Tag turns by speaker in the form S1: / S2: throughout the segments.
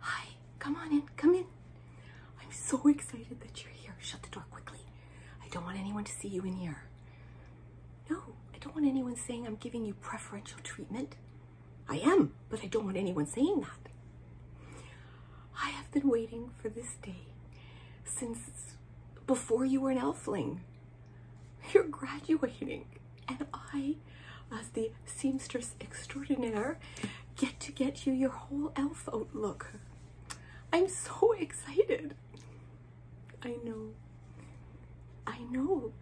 S1: Hi, come on in, come in. I'm so excited that you're here. Shut the door quickly. I don't want anyone to see you in here. No, I don't want anyone saying I'm giving you preferential treatment. I am, but I don't want anyone saying that. I have been waiting for this day since before you were an elfling. You're graduating and I, as the seamstress extraordinaire, get to get you your whole elf outlook. I'm so excited. I know. I know.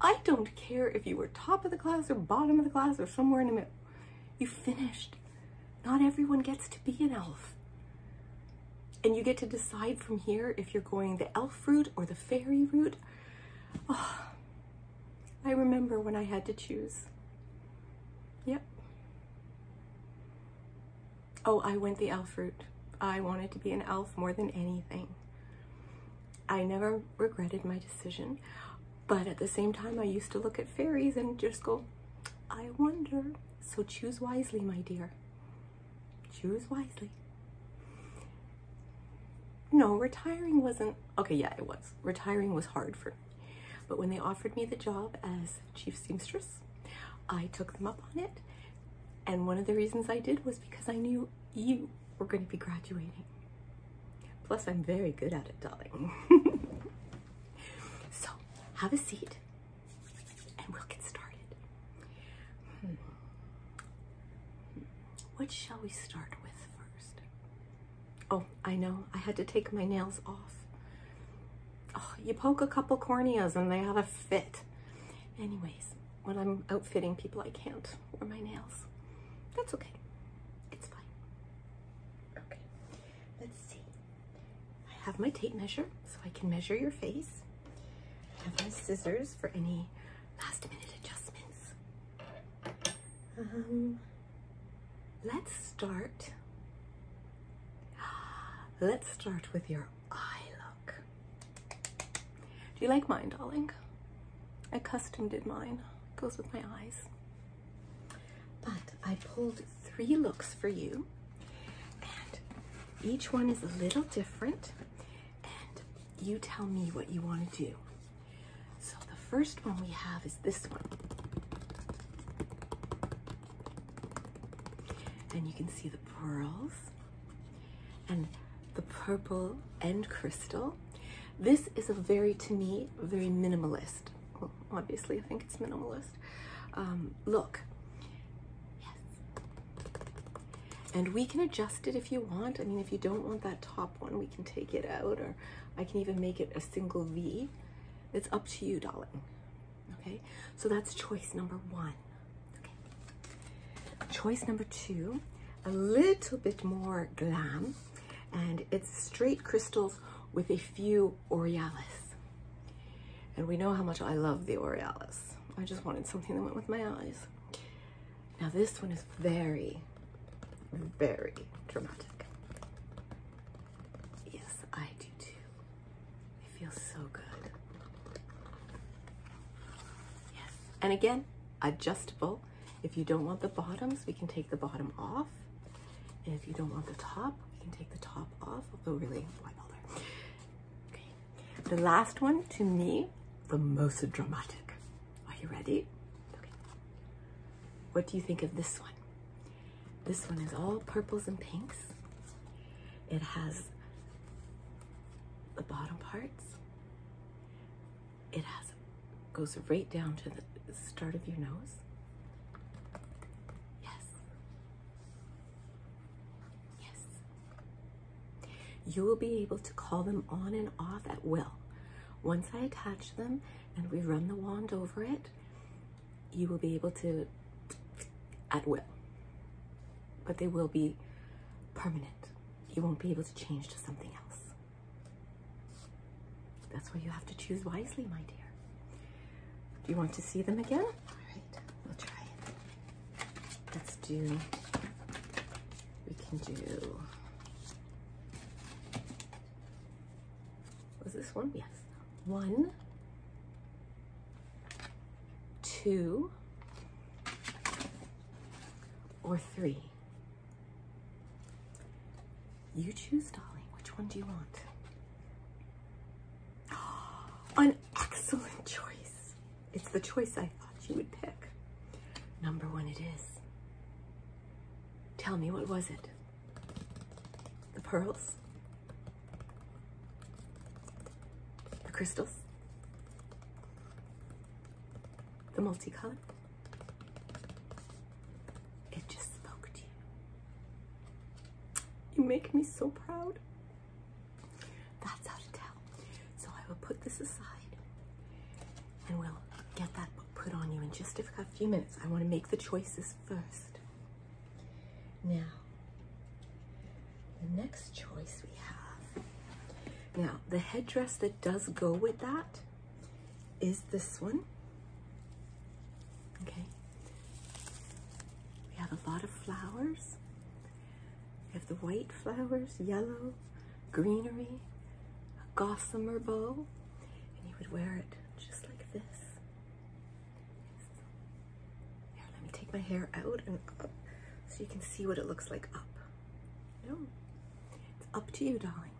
S1: I don't care if you were top of the class or bottom of the class or somewhere in the middle. You finished. Not everyone gets to be an elf. And you get to decide from here if you're going the elf route or the fairy route. Ah, I remember when I had to choose. Yep. Oh, I went the elf route. I wanted to be an elf more than anything. I never regretted my decision, but at the same time, I used to look at fairies and just go, I wonder. So choose wisely, my dear. Choose wisely. No, retiring wasn't, okay, yeah, it was. Retiring was hard for me. But when they offered me the job as chief seamstress, I took them up on it. And one of the reasons I did was because I knew you were going to be graduating. Plus, I'm very good at it, darling. so, have a seat and we'll get started. Hmm. Hmm. What shall we start with first? Oh, I know. I had to take my nails off. Oh, you poke a couple corneas and they have a fit. Anyways, when I'm outfitting people, I can't wear my nails. That's okay. It's fine. Okay, let's see. I have my tape measure so I can measure your face. I have my scissors for any last minute adjustments. Um, let's start. Let's start with your eye look. Do you like mine, darling? I custom did mine. It goes with my eyes. But I pulled three looks for you, and each one is a little different. And you tell me what you want to do. So the first one we have is this one. And you can see the pearls and the purple and crystal. This is a very, to me, very minimalist. Well, obviously, I think it's minimalist. Um, look and we can adjust it if you want. I mean, if you don't want that top one, we can take it out or I can even make it a single V. It's up to you, darling. Okay, so that's choice number one. Okay, choice number two, a little bit more glam and it's straight crystals with a few Orealis. And we know how much I love the Orealis. I just wanted something that went with my eyes. Now this one is very, very dramatic. Yes, I do too. It feels so good. Yes, and again, adjustable. If you don't want the bottoms, we can take the bottom off. if you don't want the top, we can take the top off. Although really, why bother? Okay. The last one, to me, the most dramatic. Are you ready? Okay. What do you think of this one? This one is all purples and pinks. It has the bottom parts. It has goes right down to the start of your nose. Yes. Yes. You will be able to call them on and off at will. Once I attach them and we run the wand over it, you will be able to at will. But they will be permanent. You won't be able to change to something else. That's why you have to choose wisely, my dear. Do you want to see them again? All right, we'll try Let's do, we can do, Was this one? Yes. One, two, or three. You choose, darling. Which one do you want? An excellent choice. It's the choice I thought you would pick. Number one, it is. Tell me, what was it? The pearls? The crystals? The multicolored? It just spoke to you. You make me so proud. That's how to tell. So I will put this aside and we'll get that book put on you in just a few minutes. I want to make the choices first. Now, the next choice we have. Now, the headdress that does go with that is this one. Okay. We have a lot of flowers. We have the white flowers, yellow, greenery, a gossamer bow, and you would wear it just like this. Here, let me take my hair out and up so you can see what it looks like up. No, it's up to you, darling.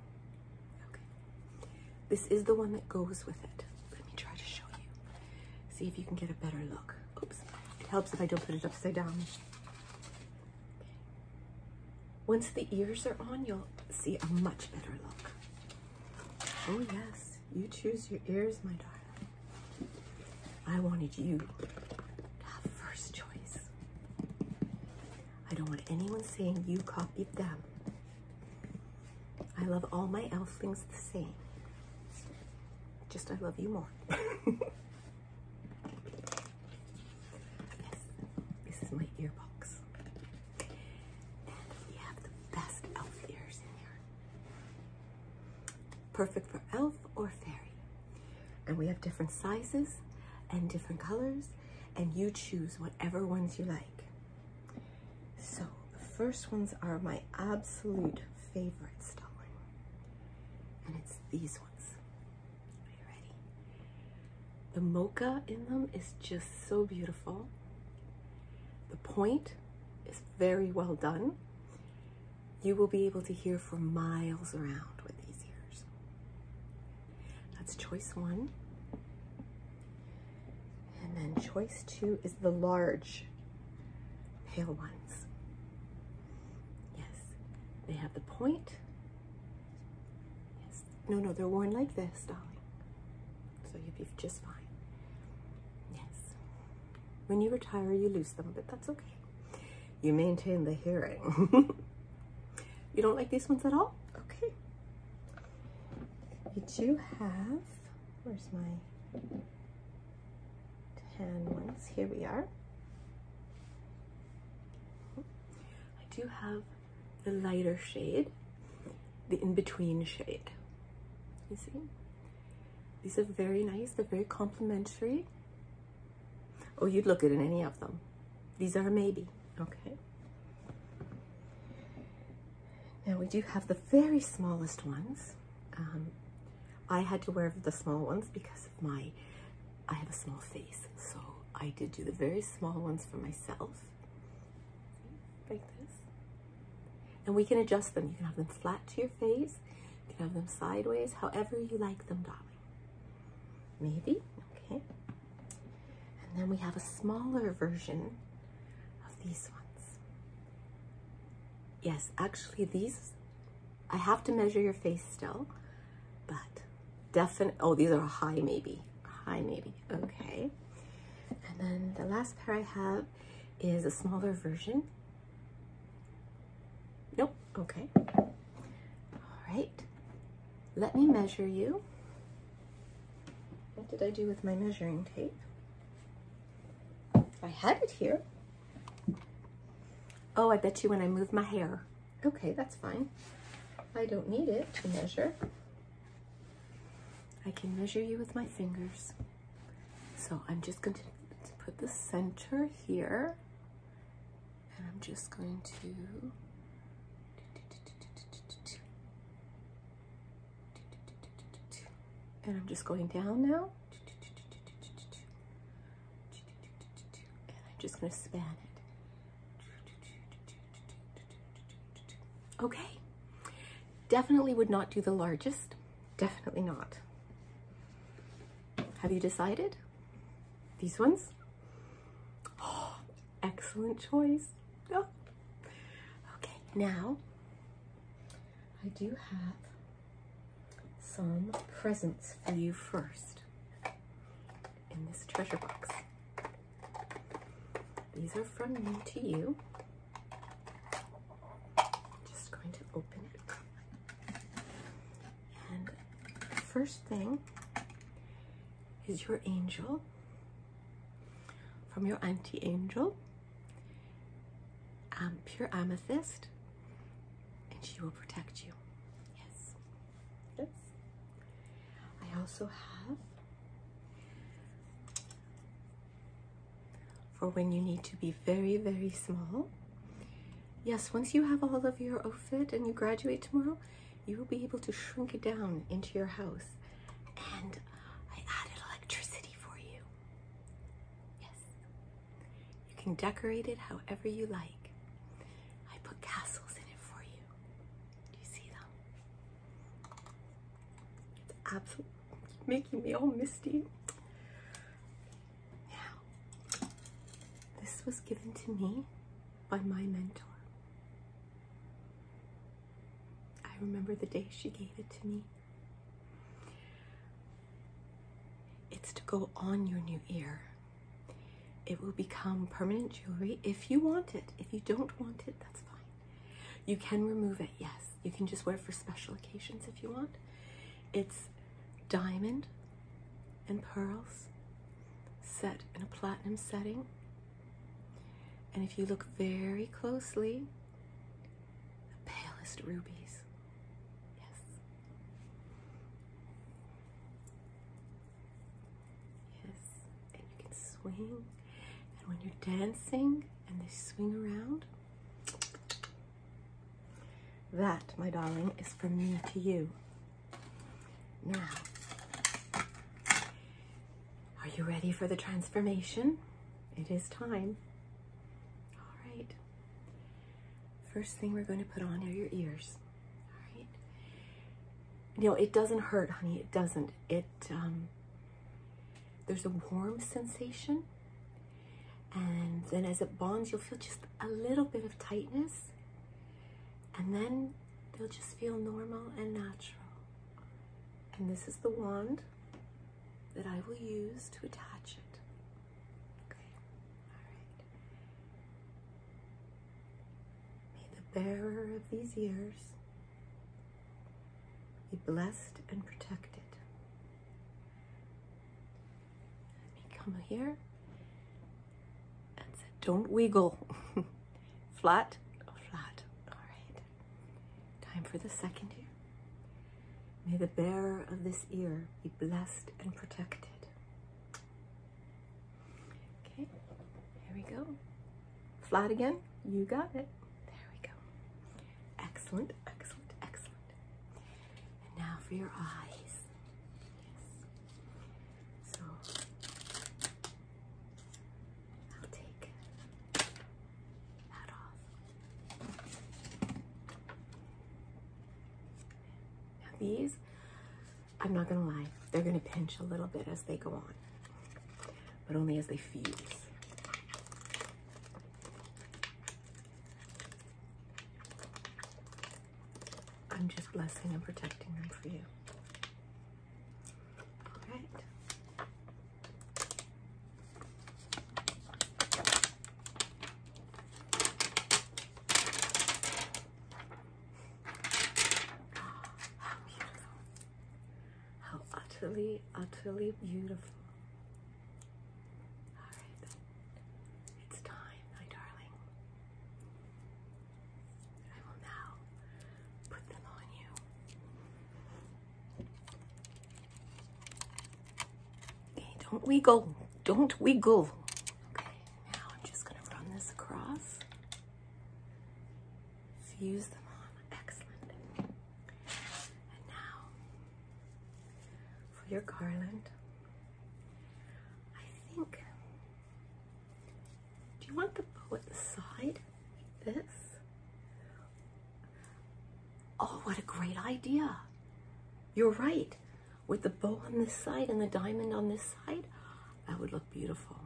S1: Okay, this is the one that goes with it. Let me try to show you. See if you can get a better look. Oops, it helps if I don't put it upside down. Once the ears are on, you'll see a much better look. Oh, yes, you choose your ears, my darling. I wanted you to have first choice. I don't want anyone saying you copied them. I love all my elflings the same. Just I love you more. this is my ear box. we have the best elf ears in here. Perfect for elf or fairy. And we have different sizes and different colors, and you choose whatever ones you like. So, the first ones are my absolute favorite, Stalin. And it's these ones. The mocha in them is just so beautiful. The point is very well done. You will be able to hear for miles around with these ears. That's choice one. And then choice two is the large pale ones. Yes, they have the point. Yes, no, no, they're worn like this, darling. So you'll be just fine. Yes, when you retire, you lose them, but that's okay. You maintain the hearing. you don't like these ones at all? Okay. You do have, where's my 10 ones. Here we are. I do have the lighter shade, the in-between shade. You see? These are very nice. They're very complimentary. Oh, you'd look good in any of them. These are maybe. Okay. Now we do have the very smallest ones. Um, I had to wear the small ones because of my, I have a small face. So I did do the very small ones for myself, like this. And we can adjust them. You can have them flat to your face. You can have them sideways, however you like them, darling. Maybe, okay. And then we have a smaller version of these ones. Yes, actually these I have to measure your face still, but definite, oh, these are high maybe, high maybe, okay. And then the last pair I have is a smaller version. Nope, okay. All right, let me measure you. What did I do with my measuring tape? I had it here. Oh, I bet you when I move my hair. Okay, that's fine. I don't need it to measure. I can measure you with my fingers. So I'm just going to put the center here. And I'm just going to... And I'm just going down now. And I'm just gonna span it. Okay, definitely would not do the largest. Definitely not. Have you decided? These ones? Oh, excellent choice. Oh. Okay, now I do have some presents for you first in this treasure box. These are from me to you. Just going to open it. And first thing is your angel from your auntie angel, um, pure amethyst, and she will protect you. Yes. Yes. I also have for when you need to be very, very small. Yes, once you have all of your outfit and you graduate tomorrow, you will be able to shrink it down into your house. And I added electricity for you. Yes. You can decorate it however you like. I put castles in it for you. Do you see them? It's absolutely making me all misty. Now, this was given to me by my mentor. I remember the day she gave it to me. It's to go on your new ear. It will become permanent jewelry if you want it. If you don't want it, that's fine. You can remove it, yes. You can just wear it for special occasions if you want. It's diamond and pearls set in a platinum setting. And if you look very closely, the palest rubies. Yes. Yes, and you can swing. And when you're dancing and they swing around, that, my darling, is from me to you. Now, are you ready for the transformation? It is time. All right. First thing we're going to put on are your ears. All right. You it doesn't hurt, honey. It doesn't. It, um, there's a warm sensation. And then as it bonds, you'll feel just a little bit of tightness. And then they'll just feel normal and natural. And this is the wand that I will use to attach it. May the bearer of these years be blessed and protected. Let me come here and say, don't wiggle. flat, flat. All right. Time for the second ear. May the bearer of this ear be blessed and protected. Okay, here we go. Flat again, you got it. There we go. Excellent, excellent, excellent. And now for your eyes. Yes. So I'll take that off. Now these, I'm not gonna lie, they're gonna pinch a little bit as they go on, but only as they fuse. I'm just blessing and protecting them for you. All right. How beautiful. How utterly, utterly beautiful. All right. It's time, my darling. I will now put them on you don't wiggle. Don't wiggle. Okay, now I'm just going to run this across. Fuse them on. Excellent. And now for your garland. I think, do you want the bow at the side? Like this? Oh, what a great idea. You're right with the bow on this side and the diamond on this side, that would look beautiful.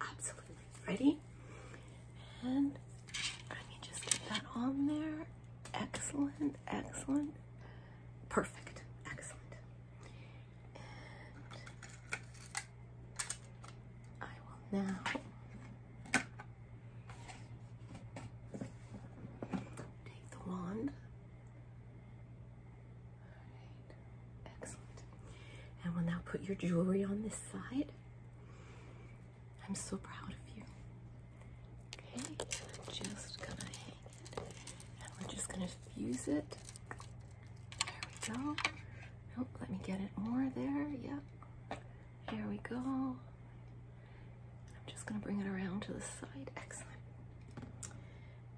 S1: absolutely. Ready? And let me just get that on there. Excellent, excellent. Perfect, excellent. I will now Take the wand. Alright. Excellent. And we'll now put your jewelry on this side. I'm so proud of you. Okay, just gonna hang it. And we're just gonna fuse it. There we go. Nope, oh, let me get it more there. Yep. There we go. I'm just gonna bring it around to the side. Excellent.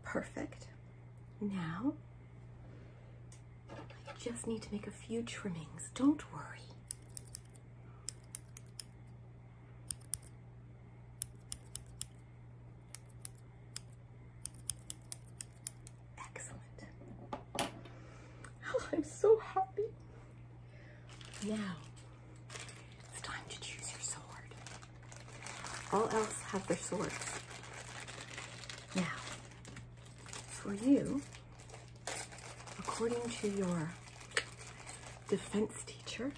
S1: Perfect. Now, I just need to make a few trimmings. Don't worry. Excellent. Oh, I'm so happy. Now, it's time to choose your sword. All else have their swords. Now, for you, according to your defense teacher,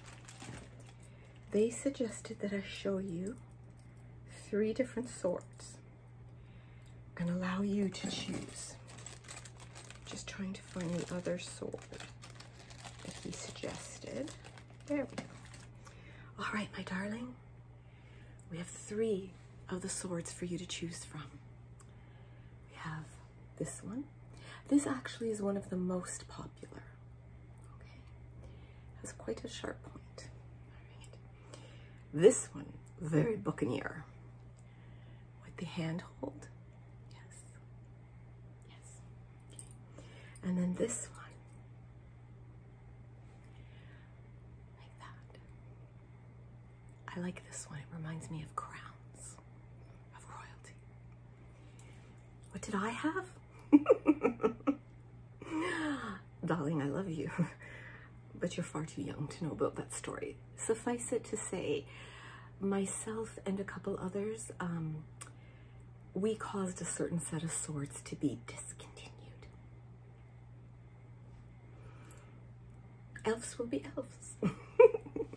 S1: they suggested that I show you three different swords and allow you to choose. Just trying to find the other sword he suggested. There we go. All right, my darling, we have three of the swords for you to choose from. We have this one. This actually is one of the most popular. has quite a sharp point. This one, very buccaneer with the handhold. Yes. Yes. And then this one. Like that. I like this one. It reminds me of crowns, of royalty. What did I have? Darling, I love you. But you're far too young to know about that story suffice it to say, myself and a couple others, um, we caused a certain set of swords to be discontinued. Elves will be elves.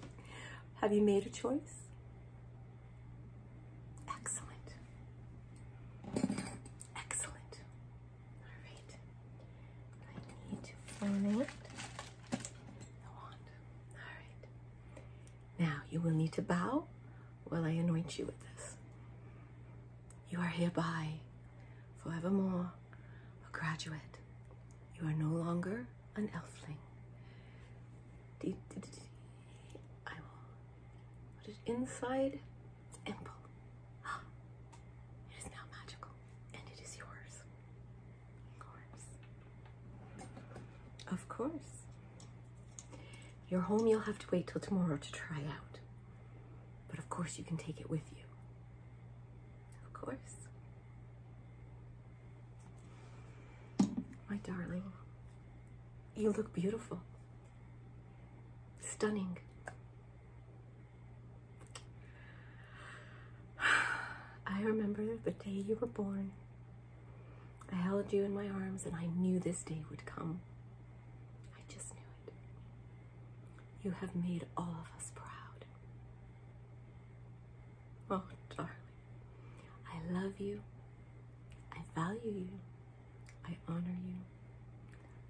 S1: Have you made a choice? Excellent. Excellent. All right. I need to find the wand. Alright. Now you will need to bow while I anoint you with this. You are hereby, forevermore, a graduate. You are no longer an elfling. I will put it inside and It is now magical, and it is yours course. Of course. Your home you'll have to wait till tomorrow to try out. But of course you can take it with you. Of course. My darling, you look beautiful. Stunning. I remember the day you were born. I held you in my arms and I knew this day would come. I just knew it. You have made all of us proud. Oh, darling, I love you. I value you. I honor you.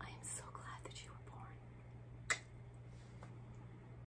S1: I am so glad that you were born.